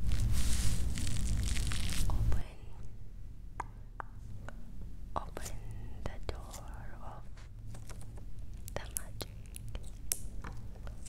Open, open the door of the magic. Portal.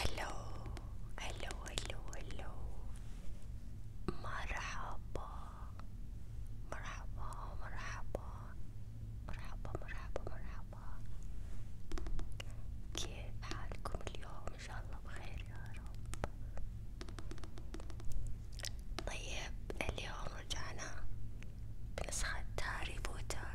هلو هلو هلو هلو مرحبا مرحبا مرحبا مرحبا مرحبا مرحبا كيف حالكم اليوم ان شاء الله بخير يا رب طيب اليوم رجعنا بنسخة هاري بوتر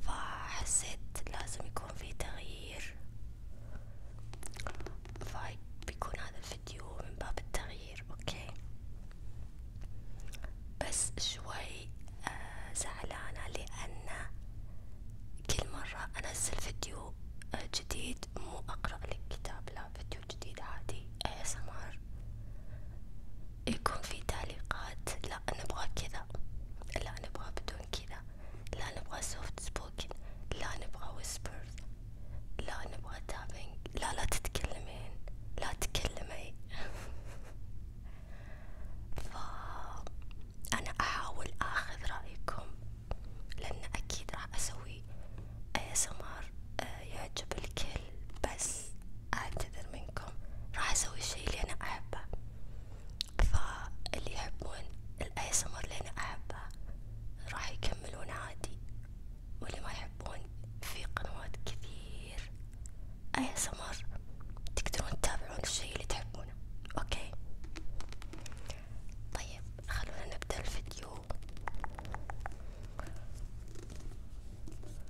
فحسيت لازم يكون في تغيير فبيكون هذا الفيديو من باب التغيير اوكي بس شوي آه زعلانة لأن كل مرة أنزل فيديو آه، جديد مو أقرأ لك كتاب لا فيديو جديد عادي ASMR يكون في تعليقات لا نبغى كذا لا نبغى بدون كذا لا نبغى سوفت سبوكن لا نبغى ويسبرز لا نبغى تابينج لا لا تتكلمين لا تكلمي فأنا أحاول أخذ رأيكم لأن أكيد راح أسوي ASMR آه، يعجب الكل بس اعتذر منكم راح اسوي الشي اللي انا احبه فاللي يحبون الاسمر اللي انا احبه راح يكملون عادي واللي ما يحبون في قنوات كثير اسمر تقدرون تتابعون الشي اللي تحبونه اوكي طيب خلونا نبدأ الفيديو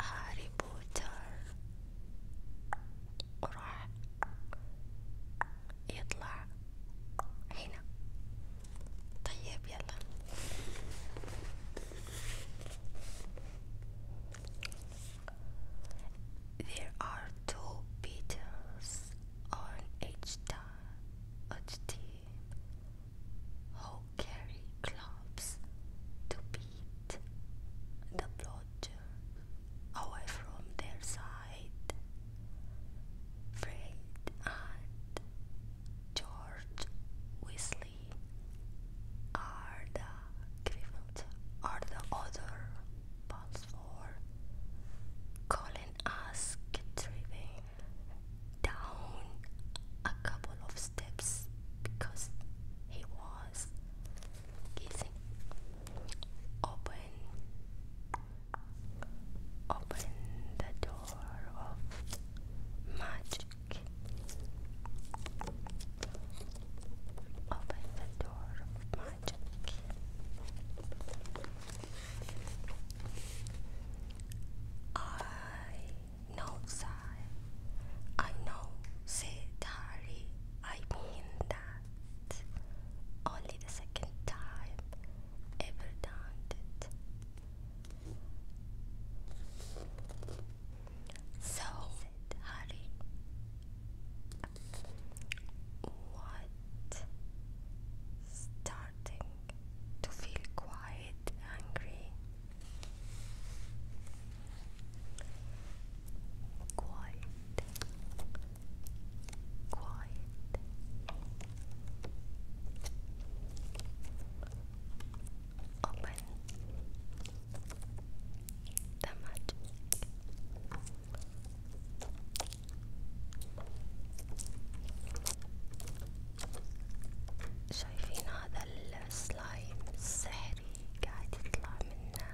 Harry Potter وراح يطلع هنا طيب There are two beetles on each, each who carry clubs to beat the blotter away from their side. Fred and George Weasley are the other balls for Colin asked Triving down a couple of steps because he was kissing. Open, open the door of magic. Open the door of magic. I no sigh. I know, said Harry, I mean that. Only the second time ever done it. So, Harry, what? Star starting to feel quite angry. Quiet, quiet. Open the magic. شايفين هذا السلايم السحري قاعد يطلع منه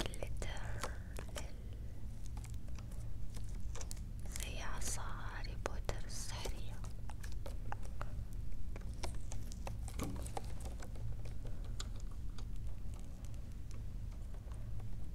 جلتر زي عصا هاري بوتر السحرية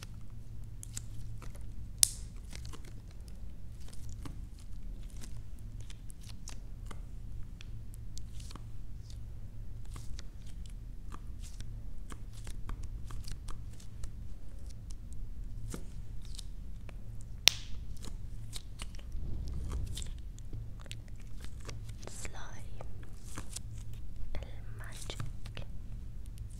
slime, el magic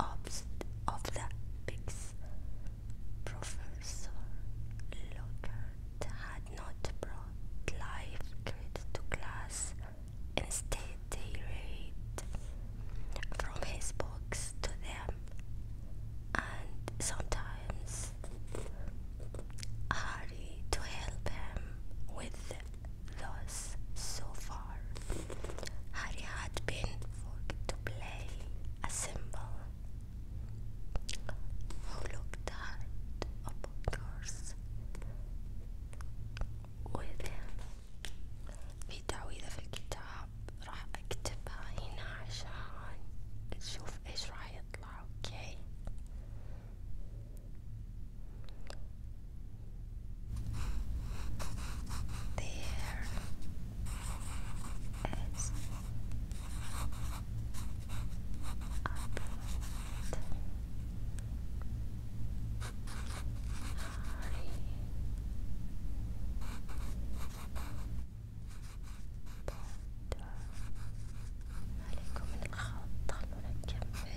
of, the pigs. Professor Lockhart had not brought live kids to class. Instead, they read from his books to them, and sometimes Harry to help him with Thus so far. Harry had been forced to play a symbol who looked hard upon girls وإذا في تعويذة في الكتاب راح أكتبها هنا عشان نشوف إيش راح يطلع there is a Harry عليكم من الخط خلونا نكمل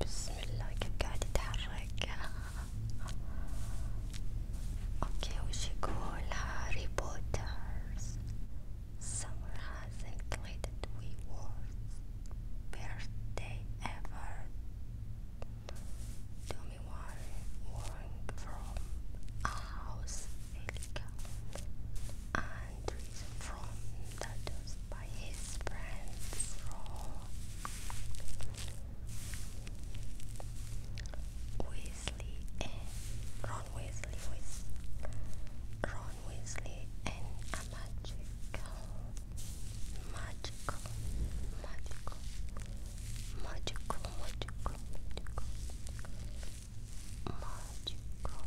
بسم الله كيف قاعد يتحرك اوكي وش يقول هاري بوترز summer has included we worst birthday ever Tommy Warren warned from a house and from Dados by his friends Ron Weasley and Ron Weasley with Ron Weasley and magical magical magical magical magical magical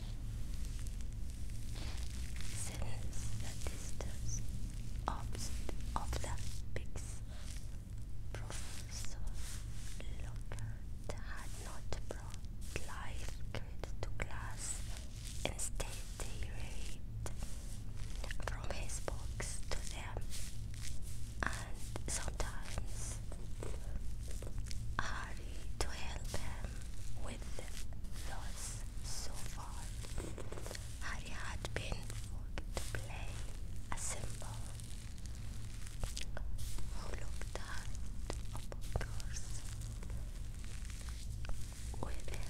since the distance of, the Professor had not brought life to class. Instead, they read from his books to them, and sometimes Ari to help him with the loss so far. Harry had been forced to play a symbol who looked hard upon girls with him.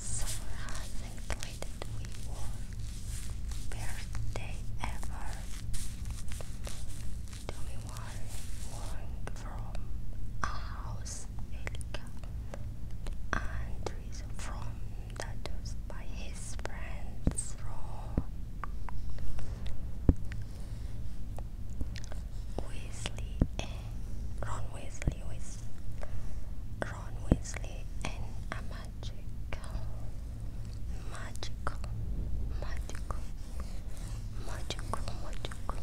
Summer has included we wore birthday ever. Tell me why going from a house and reason from that by his friends from Weasley Ron Weasley with Ron Weasley and a magical magical magical magical magical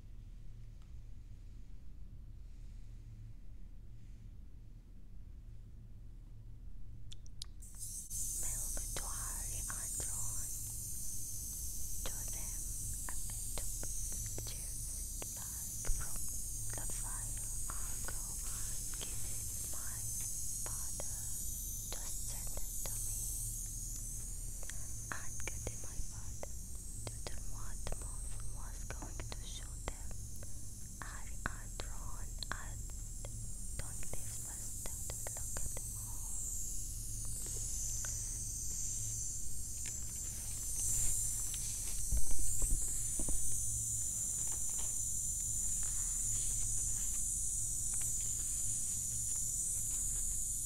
Military are drawn to them a bit of juicy from the fire i go and my father just send to me and get it my father Tutankhamun was going to show them. I are drawn at don't leave first look at them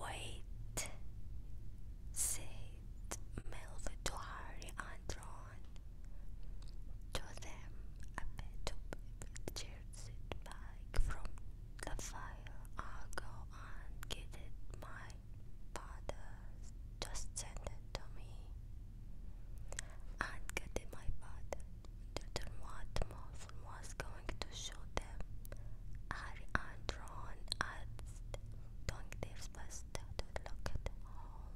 Wait, said Melvitoari Andron to them, a bit of chaired back from the fire. I'll go and get My father's just sent it to me. And getting my father wondered what Morphin was going to show them. Harry and asked Donc this was tattooed look at home.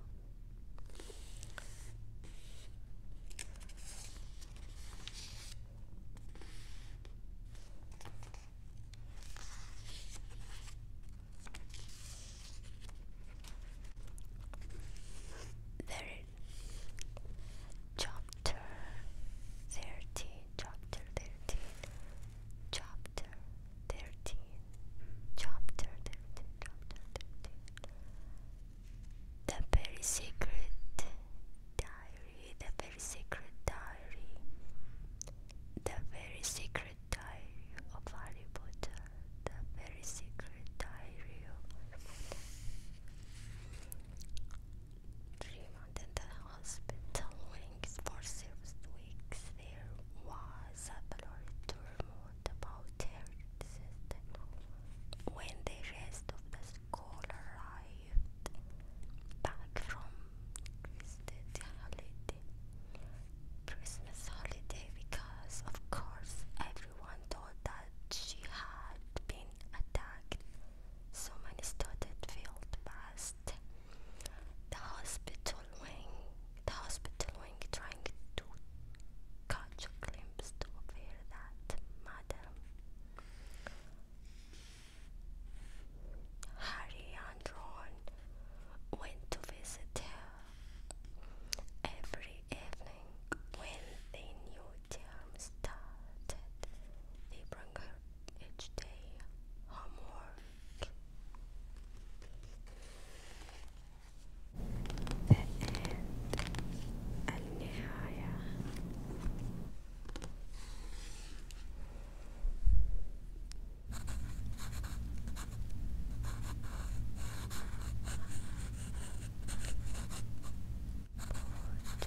chapter thirty, chapter thirty, Chapter 13 Chapter 13 Chapter 13 The Very Secret Diary The Very Secret Diary The Very Secret Diary of Harry Potter The Very Secret Diary treatment in the hospital links for six weeks. There was a blurry turmoil about her existence. When the rest of the school arrived back from Christmas holiday, Christmas holiday, because of course everyone thought that she had been attacked. So many students felt past the hospital wing, the hospital wing trying to catch a glimpse of her, that madam Harry and Ron went to visit her every evening when the new term started. They bring her each day homework. The end. النهاية. Put